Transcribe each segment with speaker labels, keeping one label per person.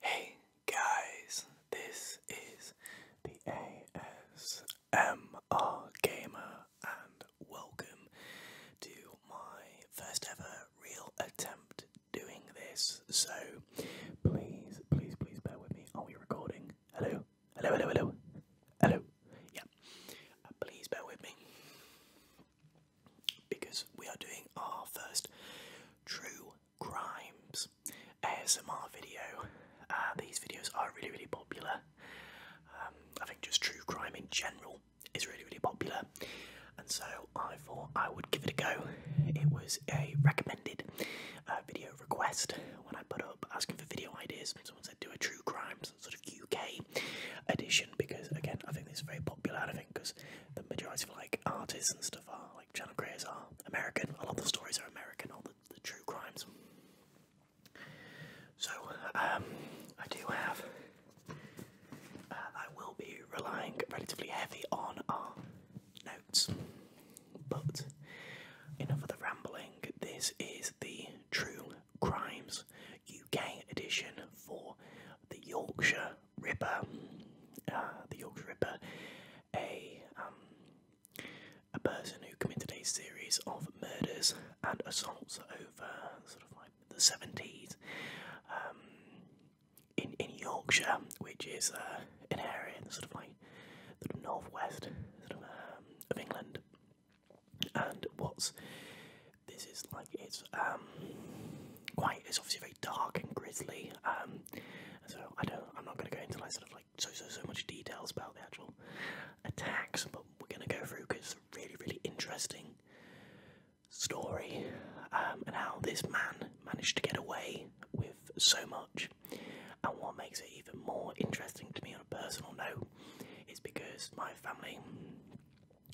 Speaker 1: Hey guys, this is the ASMR Gamer, and welcome to my first ever real attempt doing this. So please, please, please bear with me. Are we recording? Hello? Hello, hello, hello. Hello. Yeah. Uh, please bear with me because we are doing our first true crimes ASMR video. Uh, these videos are really, really popular. Um, I think just true crime in general is really, really popular, and so I thought I would give it a go. It was a recommended uh, video request when I put up asking for video ideas. Someone said do a true crime, sort of UK edition, because again, I think this is very popular. I think because the majority of like artists and stuff are like channel creators are American. A lot of the stories are American, all the, the true crimes. So um, I do have. Uh, I will be relying relatively heavy on our notes, but enough of the rambling. This is the True Crimes UK edition for the Yorkshire Ripper, ah, the Yorkshire Ripper, a um, a person who committed a series of murders and assaults over sort of like the seventies um, in in Yorkshire, which is uh, an area in sort of like the northwest sort of, um, of England. And what's this is like it's um quite it's obviously very dark and grisly. Um, so I don't I'm not going to go into like sort of like so so so much details about the actual attacks, but we're going to go through because it's a really really interesting story um, and how this man managed to get away with so much. And what makes it even more interesting to me on a personal note is because my family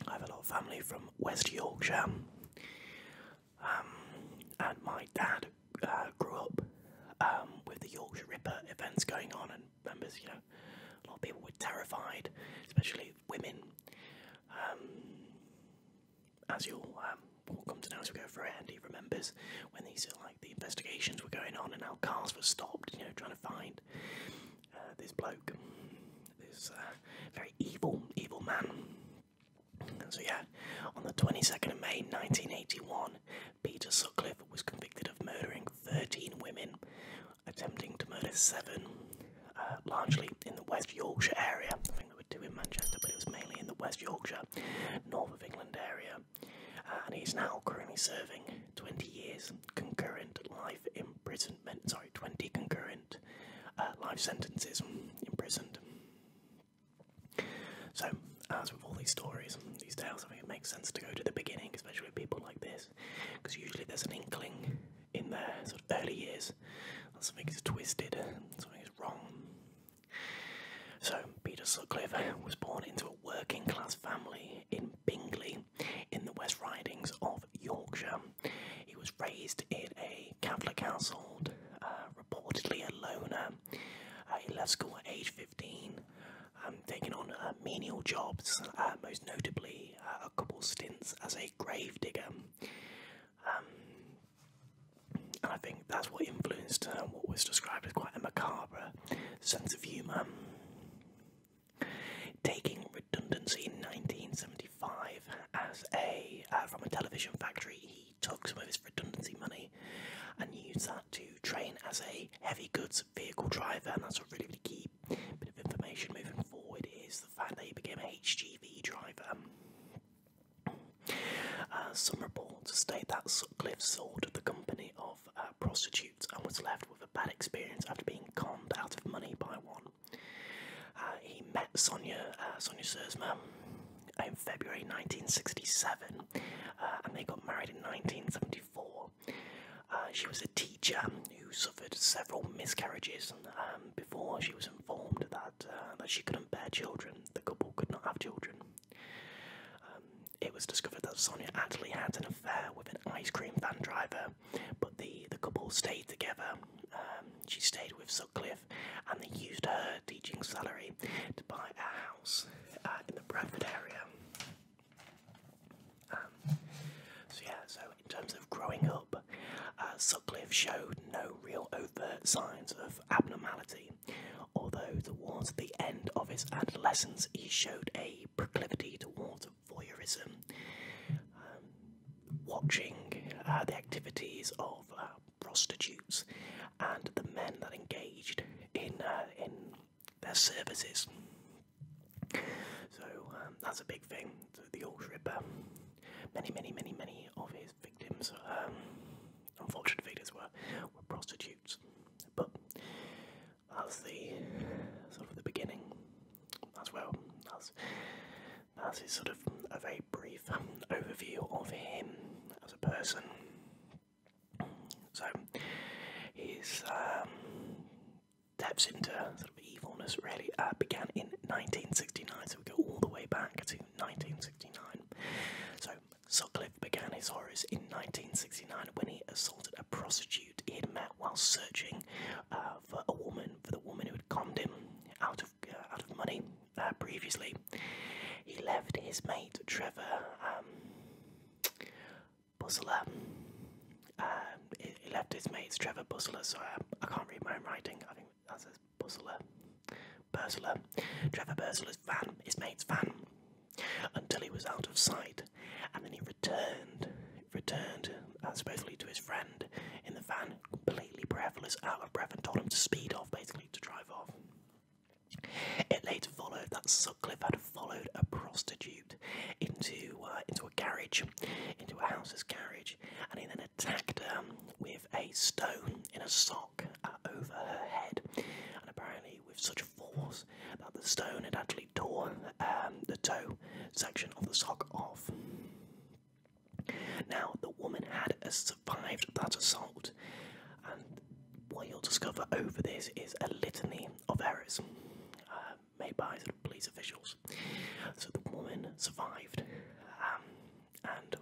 Speaker 1: I have a lot of family from West Yorkshire, um, and my dad uh, grew up um, with the Yorkshire Ripper events going on, and members, you know, a lot of people were terrified, especially women, um, as you'll all um, come to know as we go through it. Andy remembers when these like the investigations were going on, and how cars were stopped, you know, trying to find uh, this bloke this uh, very evil, evil man. And so, yeah, on the 22nd of May 1981, Peter Sutcliffe was convicted of murdering 13 women, attempting to murder seven, uh, largely in the West Yorkshire area. I think there were two in Manchester, but it was mainly in the West Yorkshire, north of England area. Uh, and he's now currently serving 20 years concurrent life imprisonment, sorry, 20 concurrent uh, life sentences, imprisoned. So, as with all these stories, these tales, I think it makes sense to go to the beginning, especially with people like this, because usually there's an inkling in there, sort of early years that something is twisted, something is wrong. So, Peter Sutcliffe was born into a working class family in Bingley in the West Ridings of Yorkshire. He was raised in a Catholic household, uh, reportedly a loner. Uh, he left school at age 15, um, taking on uh, menial jobs, most notably a couple stints as a grave digger. Um, and I think that's what influenced what was described as quite a macabre sense of humour. Taking redundancy in 1975, 1985 as a uh, from a television factory. He took some of his redundancy money and used that to train as a heavy goods vehicle driver. And that's a really, really key bit of information moving forward is the fact that he became a HGV driver. Uh, some reports state that Sutcliffe sold the company of uh, prostitutes and was left with a bad experience after being conned out of money by one. Uh, he met Sonia, uh, Sonia Sersma in February 1967 uh, and they got married in 1974. she was a teacher who suffered several miscarriages um, before she was informed that, that she couldn't bear children. The couple could not have children. Um, it was discovered that Sonia actually had an affair with an ice cream van driver, but the, the couple stayed together. Um, she stayed with Sutcliffe and they used her teaching salary to buy a house uh, in the Bradford area. Um, so yeah, so in terms of growing up, uh, showed no real overt signs of abnormality, although towards the end of his adolescence he showed a proclivity towards voyeurism. Um, watching uh, the activities of uh, prostitutes and the men that engaged in uh, in their services. So um, that's a big thing. So the old stripper. many, many, many, many of his victims, um, unfortunate victims, were were prostitutes. But that's the sort of the beginning. as well. That's that's his sort of a very brief overview of him as a person. So his um, into sort of evilness really uh, began in 1969, so we go all the way back to 1969. So Sutcliffe began his horrors in 1969 when he assaulted a prostitute he had met while searching uh, for a woman, for the woman who had conned him out of uh, out of money. Uh, previously. He left his mate Trevor um, um he, left his mates Trevor Bustler, so um, I, can't read my own writing. I think that's says Bustler. Bursler. Trevor Bursler's van, his mate's van, until he was out of sight, and then he returned, returned uh, supposedly to his friend in the van, completely breathless, out of breath, and told him to speed off, basically, to drive off. It later followed that Sutcliffe had followed a prostitute into uh, into a carriage, into a house's carriage, and he then attacked her with a stone in a sock uh, over her head, and apparently with such force that the stone had actually torn um, the toe section of the sock off. Now, the woman had survived that assault, and what you'll discover over this is a litany of errors uh, made by police officials. So the woman survived, um, and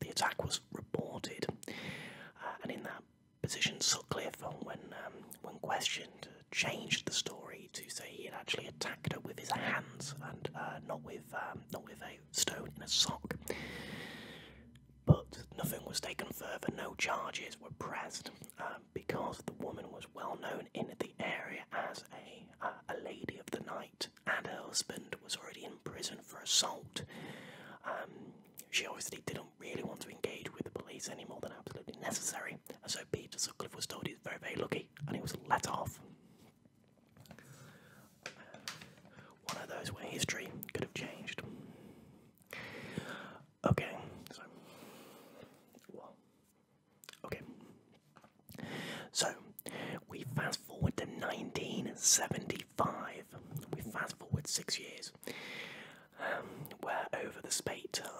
Speaker 1: the attack was reported. Uh, and in that position, Sutcliffe, when um, when questioned, changed the story to say he had actually attacked her with his hands and uh, not with um, not with stone in a sock. But nothing was taken further, no charges were pressed um, because the woman was well known in the area as a, uh, a lady of the night, and her husband was already in prison for assault. Um, she obviously didn't really want to engage with the police any more than absolutely necessary, and so Peter Sutcliffe was told he was very, very lucky and he was let off. One of those where history could have changed. Okay, so. okay. So, we fast forward to 1975. We fast forward six years. Um, we're over the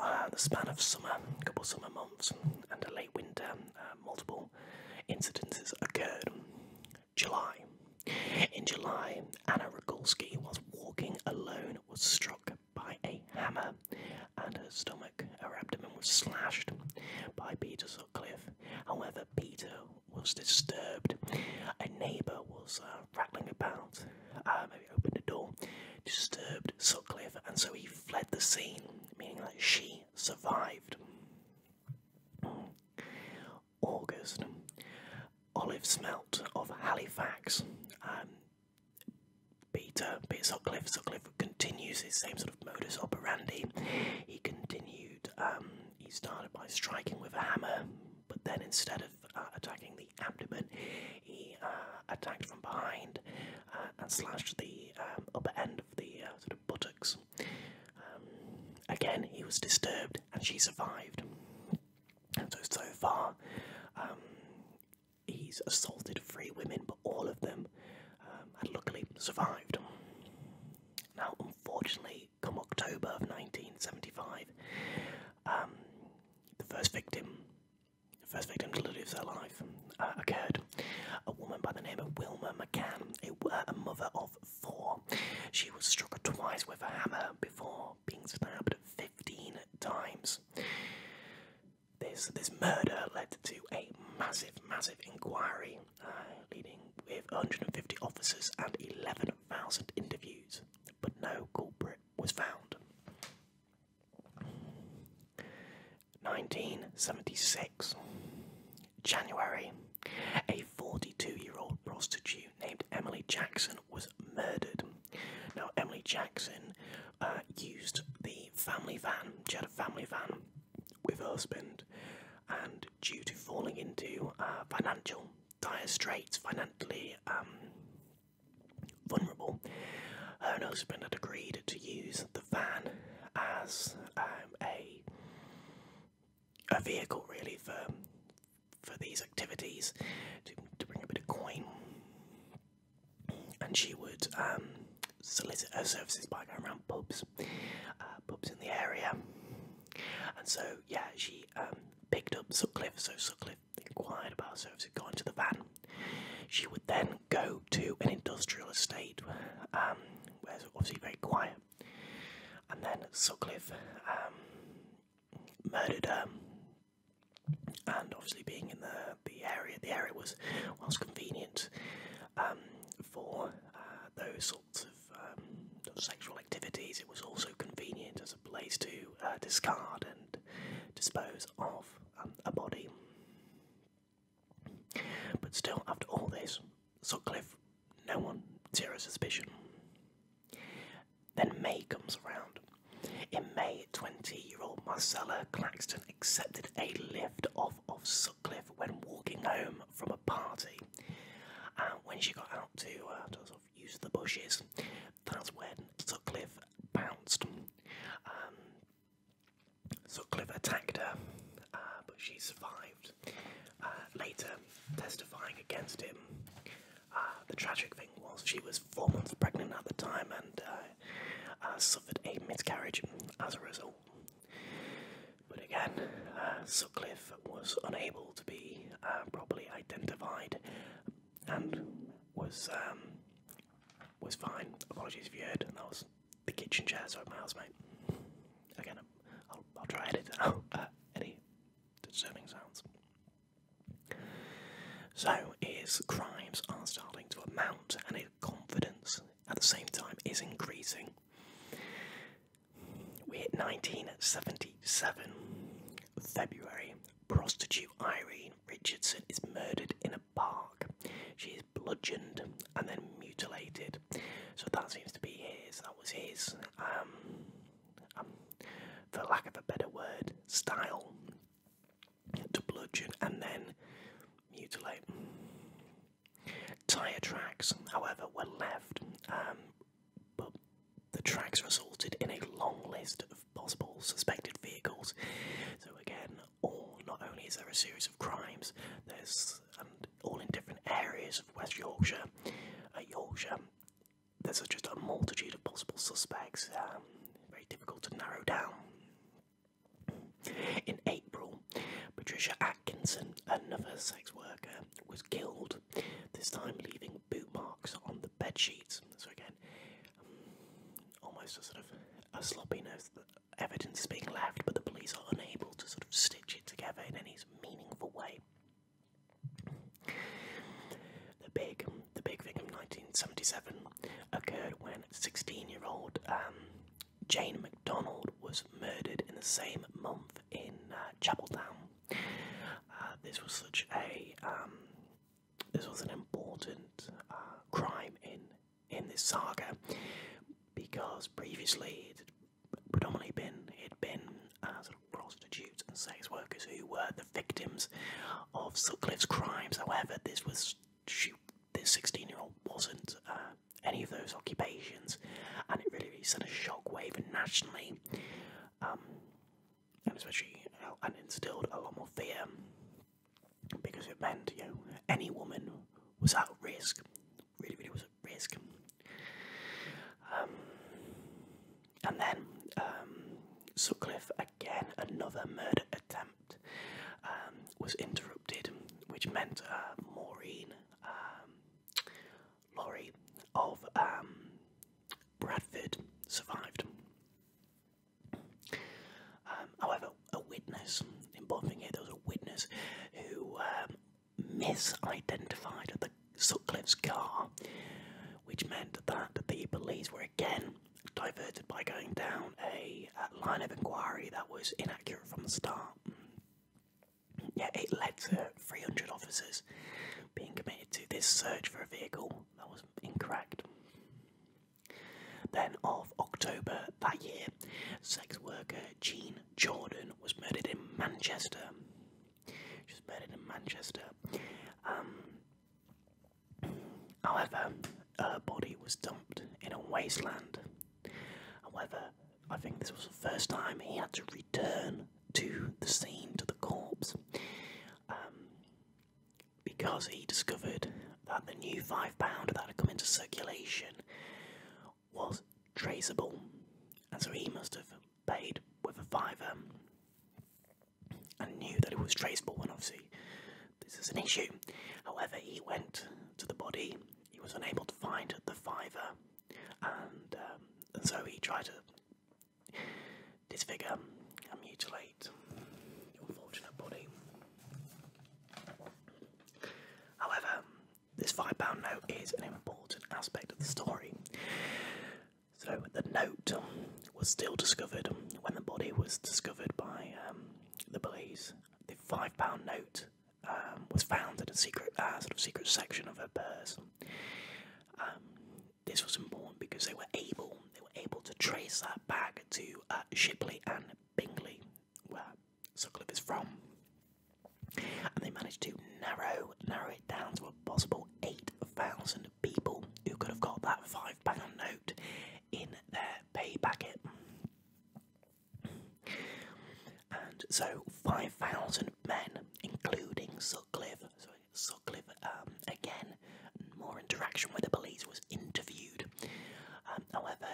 Speaker 1: uh, the span of summer, a couple summer months, and a late winter, uh, multiple incidences occurred. July. In July, Anna Rogalski, was walking alone, was struck by a hammer, and her stomach, her abdomen, was slashed by Peter Sutcliffe. However, Peter was disturbed. A neighbour was uh, rattling about, uh, maybe opened a door, disturbed Sutcliffe, and so he fled the scene, meaning that she survived. August, olive smelt of Halifax. Um, Peter, Peter Sutcliffe, Sutcliffe continues his same sort of modus operandi. He continued, um, he started by striking with a hammer, but then instead of uh, attacking the abdomen, he uh, attacked from behind uh, and slashed the um, upper end of the buttocks. Um, again, he was disturbed and she survived. So, so far, um, he's assaulted three women, but all of them um, had luckily survived. Now, unfortunately, come October of 1975, the first victim, the first victim to lose her life, uh, occurred. A woman by the name of Wilma McCann, a mother of four. She was struck twice with a hammer before being stabbed 15 times. This, this murder led to a massive, massive inquiry, uh, leading with 150 officers and 11,000 interviews, but no culprit was found. 1976 January a 42 year old prostitute named Emily Jackson was murdered. Now, Emily Jackson uh, used the family van, she had a family van with her husband, and due to falling into uh, financial dire straits, financially um, vulnerable, her husband had agreed to use the van as um, a a vehicle really for for these activities to, to bring a bit of coin and she would um, solicit her services by going around pubs uh, pubs in the area and so yeah she um, picked up Sutcliffe so Sutcliffe inquired about her services got into the van she would then go to an industrial estate um, where it's obviously very quiet and then Sutcliffe um, murdered her. And obviously, being in the the area, the area was was convenient um, for uh, those sorts of um, sexual activities. It was also convenient as a place to uh, discard and dispose of a body. But still, after all this, Sutcliffe, no one, zero suspicion. Then May comes around. In May, 20 year old Marcella Claxton accepted a lift off of Sutcliffe when walking home from a party. And when she got out to, uh, use the bushes, that's when Sutcliffe bounced. Um, Sutcliffe attacked her, uh, but she survived. Uh, later testifying against him. Uh, the tragic thing was she was four months pregnant at the time and uh, suffered a miscarriage as a result. But again, uh, Sutcliffe was unable to be properly identified and was um, was fine. Apologies if you heard, that was the kitchen chair, sorry, my housemate. Again, I'll, try edit uh, any disturbing sounds. So, his crimes are starting to amount, and his confidence at the same time is increasing. We hit 1977, February. Prostitute Irene Richardson is murdered in a park. She is bludgeoned and then mutilated. So that seems to be his. That was his um, um, for lack of a better word, style to bludgeon and then mutilate. Tire tracks, however, were left, um, but the tracks resulted in a long list of possible suspected vehicles. So again, all not only is there a series of crimes, there's and um, all in different areas of West Yorkshire, Yorkshire. There's just a multitude of possible suspects, um, very difficult to narrow down. In April, Patricia Atkinson, another sex worker, was killed, this time leaving boot marks on the bed sheets. So, again, um, almost a sort of a sloppiness that evidence being left, but the police are unable to sort of stitch it together in any meaningful way. The big, the big thing of 1977 occurred when 16-year-old um, Jane McDonald was murdered in the same month in uh, Chapel Town. Uh, this was such a, um, this was an important uh, crime in in this saga because previously it had predominantly been it been uh, sort of prostitutes and sex workers who were the victims of Sutcliffe's crimes. However, this was this 16-year-old wasn't uh, any of those occupations, and it really, sent a shock shockwave nationally, um, and especially and instilled a lot more fear because it meant you any woman was at risk really, really was at risk. Um, and then um, Sutcliffe, again, another murder attempt um, was interrupted, which meant uh, Maureen um, Laurie of um, Bradford survived. however, a witness, important thing here, there was a witness who misidentified the Sutcliffe's car, which meant that the police were again diverted by going down a, line of inquiry that was inaccurate from the start. Yeah, it led to 300 officers being committed to this search for a vehicle that was incorrect. Then, of October that year, sex worker Jean Jordan was murdered in Manchester. She was murdered in Manchester. Um, however, her body was dumped in a wasteland. However, I think this was the first time he had to return to the scene, to the corpse, um, because he discovered that the new £5 that had come into circulation was traceable, and so he must have paid with a fiver and knew that it was traceable when obviously this is an issue. However, he went to the body, he was unable to find the fiver, and, um, so he tried to disfigure and mutilate your unfortunate body. However, this £5 note is an important aspect of the story. So, the note was still discovered when the body was discovered by um, the police. The £5 note um, was found in a secret, uh, sort of secret section of her purse. Um, this was important because they were able, they were able to trace that back to uh, Shipley and Bingley, where Sutcliffe is from and they managed to narrow narrow it down to a possible 8,000 people who could have got that five pound note in their pay packet. And so 5,000 men, including Sutcliffe, so Sutcliffe um, again, more interaction with the police was interviewed. Um, however,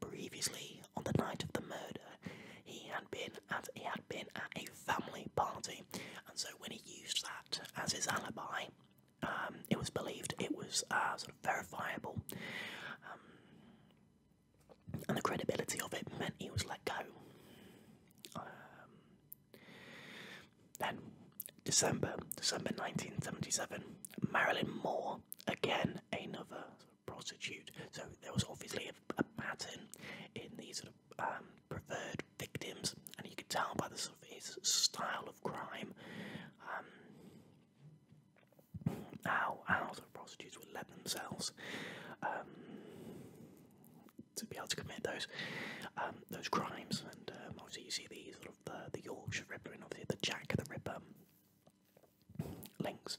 Speaker 1: previously on the night of the murder, he had been at he had been at a family party, and so when he used that as his alibi, um, it was believed it was uh, sort of verifiable, um, and the credibility of it meant he was let go. Um, then, December December nineteen seventy seven, Marilyn Moore again another prostitute. So there was obviously a, pattern in these sort of um, preferred victims, and you could tell by the sort of his style of crime um, how how sort of prostitutes would let themselves um, to be able to commit those those crimes, and obviously you see the sort of the, the Yorkshire Ripper and obviously the Jack the Ripper links.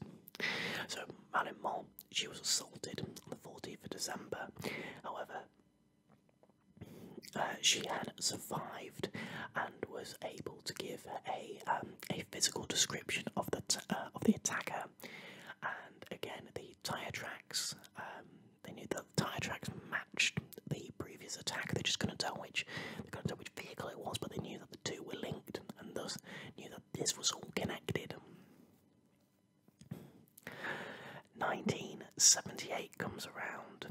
Speaker 1: So Marilyn Mole, she was assaulted on the 14th of December. However, uh, she had survived and was able to give a um, a physical description of the uh, of the attacker. And again, the tire tracks. Um, they knew the tire tracks matched the previous attack. They just couldn't tell which they couldn't tell which vehicle it was, but they knew that the two were linked, and thus knew that this was all connected. 1978 comes around.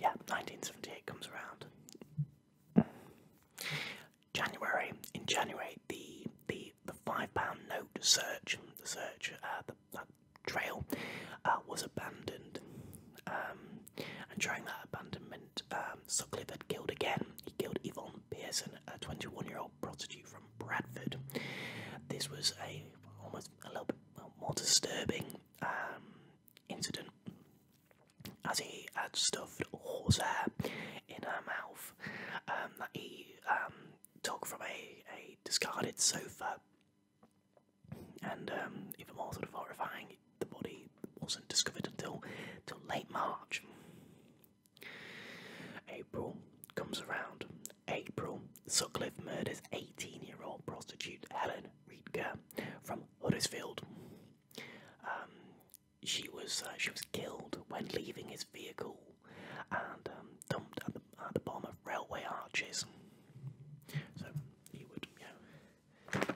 Speaker 1: Yeah, 1978 comes around. January in January, the the the five pound note search, the search, uh, the, trail uh, was abandoned. Um, and during that abandonment, um, Sutcliffe killed again. He killed Yvonne Pearson, a 21-year-old prostitute from Bradford. This was a almost a little bit more disturbing um, incident, as he had stuffed horsehair in her mouth um, that he um, took from a, a discarded sofa. And even more sort of horrifying, the body wasn't discovered until, until late March. April comes around. April, Sutcliffe murders 18 year old prostitute Helen Riedger from Huddersfield. Um, she was uh, she was killed when leaving his vehicle and um, dumped at the, at bottom of railway arches. So he would, you know,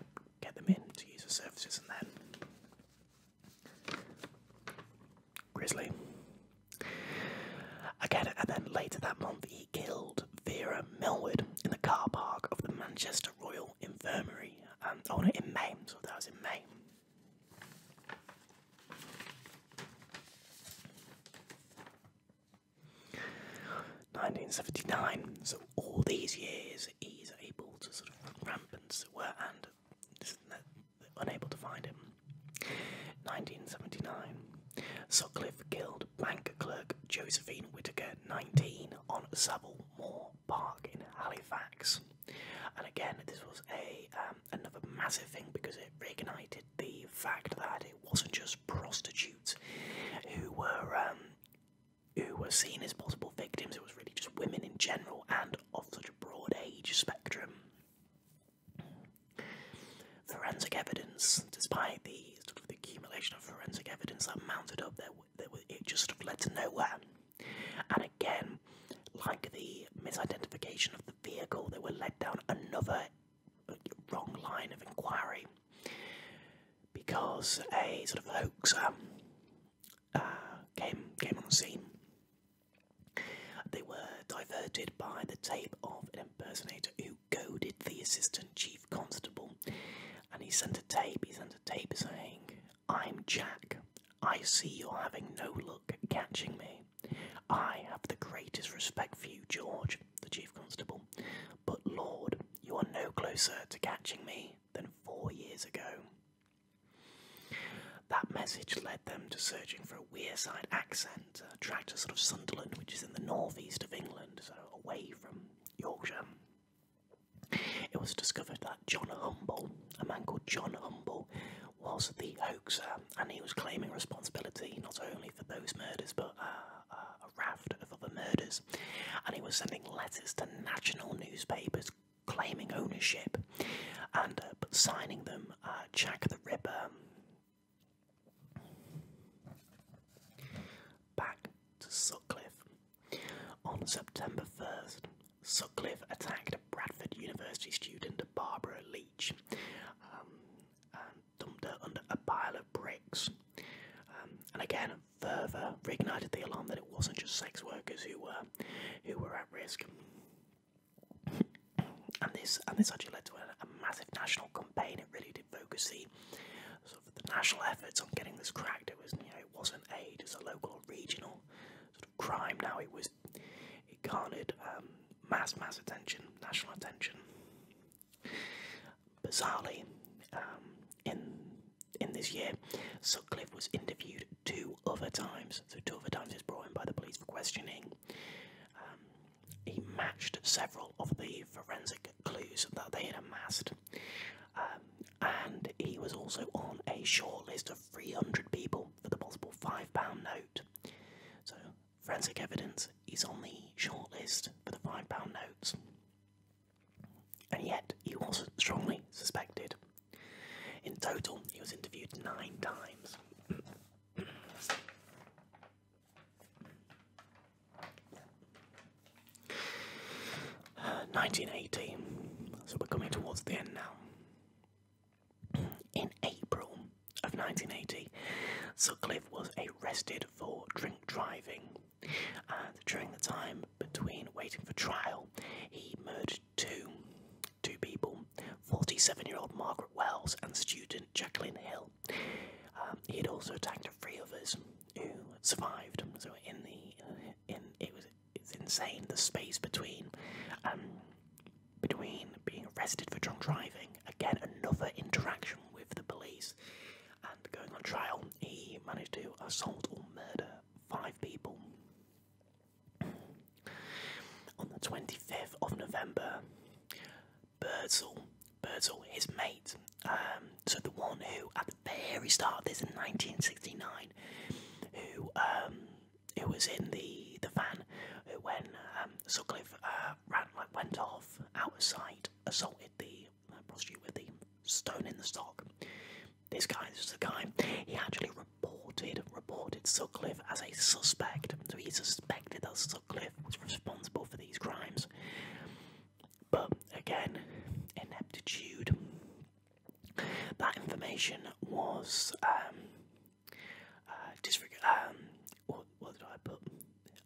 Speaker 1: get them in to use the services and then Grizzly. Again, and then later that month, he killed Vera Millward in the car park of the Manchester Royal Infirmary. And um, oh no, in May, so that was in May. Nineteen seventy nine. So all these years, he's able to sort of rampant, as it were, and unable to find him. 1979. Sutcliffe killed bank clerk Josephine Whittaker, 19, on Savile Moor Park in Halifax. And again, this was a um, another massive thing because it reignited the fact that it wasn't just prostitutes who were um, who were seen as possible victims. It was really just women in general, and of such broad age spectrum. Forensic evidence, despite the sort of accumulation of forensic evidence that mounted up, there, it just led to nowhere. And again, like the misidentification of the vehicle, they were led down another wrong line of inquiry because a sort of hoaxer um, uh, came came on the scene. They were diverted by the tape of an impersonator who goaded the assistant chief constable, and he sent a tape. He sent a tape saying, "I'm Jack. I see you're having no luck catching me. I have the greatest respect for you, George, the chief constable, but Lord, you are no closer to catching me than four years ago." That message led them to searching for a Weirside accent, a tracked to sort of Sunderland, which is in the northeast of England, so away from Yorkshire. It was discovered that John Humble, a man called John Humble, was the hoaxer, and he was claiming responsibility not only for those murders but uh, uh, a raft of other murders. And he was sending letters to national newspapers claiming ownership and uh, signing them uh, Jack the Ripper. Back to Sutcliffe. On September 1st, Sutcliffe attacked a Bradford University student, Barbara Leach, um, and dumped her under a pile of bricks. Um, and again, further reignited the alarm that it wasn't just sex workers who were who were at risk. And this and this actually led to a, massive national campaign. It really did focus the sort of the national efforts on getting this cracked. It was you know it wasn't a just a local or regional sort of crime. Now it was it garnered um, mass mass attention, national attention. Bizarrely, um, in in this year, Sutcliffe was interviewed two other times. So two other times brought in by the police for questioning. Um, he matched several of the forensic clues that they had amassed. Um, and he was also on a short list of 300 people for the possible £5 note. So, forensic evidence is on the short list for the £5 notes. And yet, he was strongly suspected in total, he was interviewed nine times. 1980, so we're coming towards the end now. In April of 1980, Sutcliffe was arrested for drink driving, and during the time between waiting for trial, he murdered two, two people 47 year old Margaret Wells and student Jacqueline Hill. Um, he had also attacked three others who survived. So, in the in it was it's insane the space between um, between being arrested for drunk driving, again, another interaction with the police, and going on trial. He managed to assault or murder five people. On the 25th of November, Birdsall, Birdsall, his mate, um, so the one who at the very start of this in 1969, who um, who was in the the van who when um, uh, ran like went off out of sight, assaulted the uh, prostitute with the stone in the stock. This guy, this is the guy. He actually reported reported Sutcliffe as a suspect. So he suspected that Sutcliffe was responsible for these crimes. But again, ineptitude. That information was um, uh, um,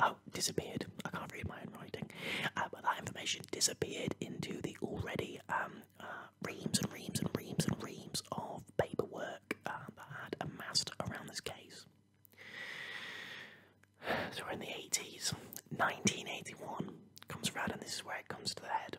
Speaker 1: oh, disappeared. I can't read my own writing. Uh, but that information disappeared into the already um, reams and reams and reams and reams of paperwork um, that had amassed around this case. So we're in the 80s. 1981 comes around, and this is where it comes to the head.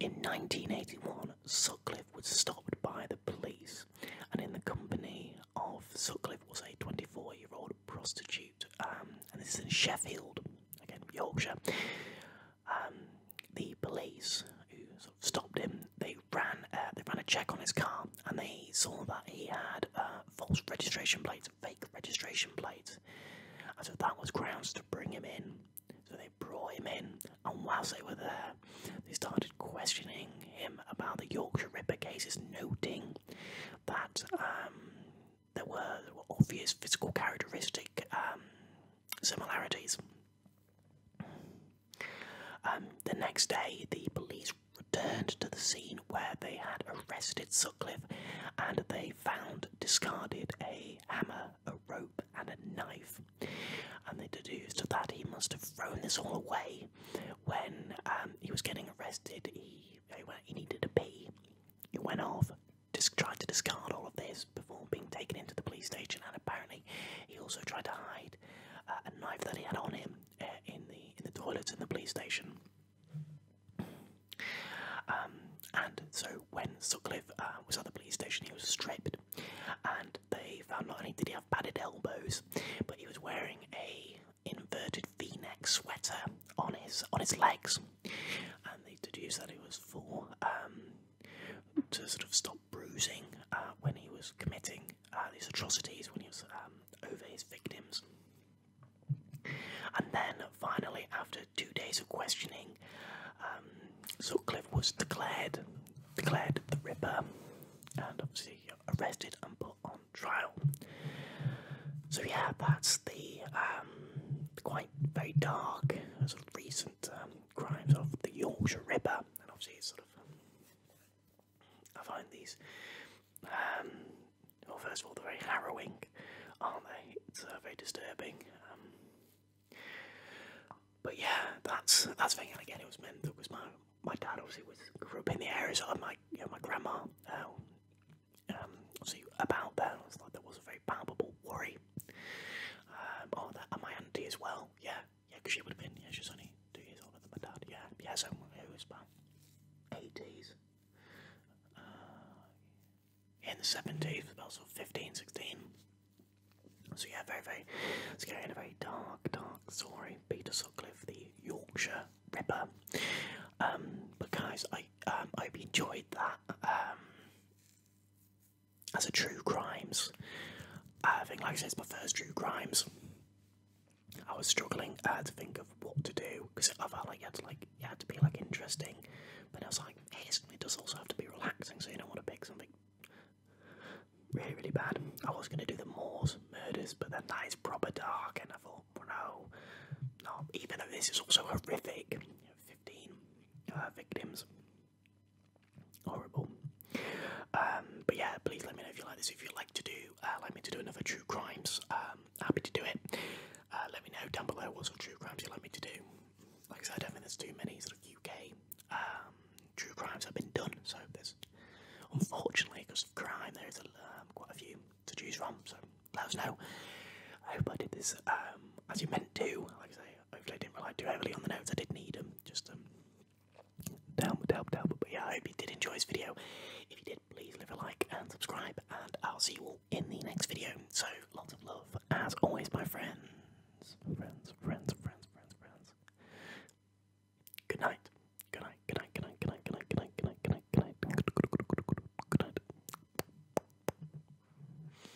Speaker 1: In 1981, Sutcliffe was stopped by the police, and in the company of Sutcliffe was a 24 year old prostitute, um, and this is in Sheffield, again, Yorkshire. Um, the police who stopped him, they ran uh, they ran a check on his car and they saw that he had uh, false registration plates, fake registration plates. And so that was grounds to bring him in. So they brought him in, and whilst they were there, they started questioning him about the Yorkshire Ripper cases, noting that there um, were, there were obvious physical characteristic um, similarities. Um, the next day, the police returned to the scene where they had arrested Sutcliffe and they found discarded a hammer, a rope, and a knife. And they deduced that he must have thrown this all away when um, he was getting arrested. He, he needed a pee. He went off, just tried to discard all of this before being taken into the police station, and apparently he also tried to hide uh, a knife that he had on him uh, in the in the toilets in the police station. Um, and so when Sutcliffe uh, was at the police station, he was stripped, and they found not only did he have padded elbows, but he was wearing a inverted V-neck sweater on his on his legs, and they deduced that it was for um, to sort of stop bruising uh, when he was committing uh, these atrocities, when he was um, over his victims. And then finally, after two days of questioning, um, was declared, declared the Ripper, and obviously arrested and put on trial. So yeah, that's the um, quite very dark uh, sort of recent um, crimes of the Yorkshire River, and obviously it's sort of I find these um, well first of all they're very harrowing, aren't they? It's uh, very disturbing. Um. but yeah, that's that's thing. And again, it was meant that was my my dad obviously was grew up in the areas of my you know, my grandma. Uh, so about that, it's like there was a very palpable worry um, oh, that, and my auntie as well. Yeah, yeah, because she would have been. Yeah, she's only two years older than my dad. Yeah, yeah. So it was about eighties. Uh, in the seventies, also 15, 16. So yeah, very, very scary and a very dark, dark story. Peter Sutcliffe, the Yorkshire Ripper. Um, but guys, I um, I hope you enjoyed that. Um, as a true crimes. Uh, I think, like I said, it's my first true crimes. I was struggling uh, to think of what to do because I felt like it had to like you to be like interesting, but I was like, hey, it does also have to be relaxing, so you don't want to pick something really really bad. I was gonna do the Moors murders, but then that is proper dark, and I thought, no, no. Even though this is also horrific, fifteen uh, victims, horrible. Um, but yeah, please let me know if you like this. If you like to do, uh, like me to do another true crimes, um, happy to do it. Uh, let me know down below what sort of true crimes you'd like me to do. Like I said, I don't think there's too many sort of UK um, true crimes have been done, so there's unfortunately because of crime there is a, um, quite a few to choose from. So let us know. I hope I did this um, as you meant to. Like I say, Hopefully, I didn't rely too heavily on the notes. I did not need them. Just um, down help, help. But yeah, I hope you did enjoy this video. If you did, please leave a like and subscribe, and I'll see you all in the next video. So lots of love, as always, my friends, friends, friends, friends, friends, friends. Good night. Good night. Good night. Good night. Good night. Good night. Good night. Good night. Good night. Good night. Good night.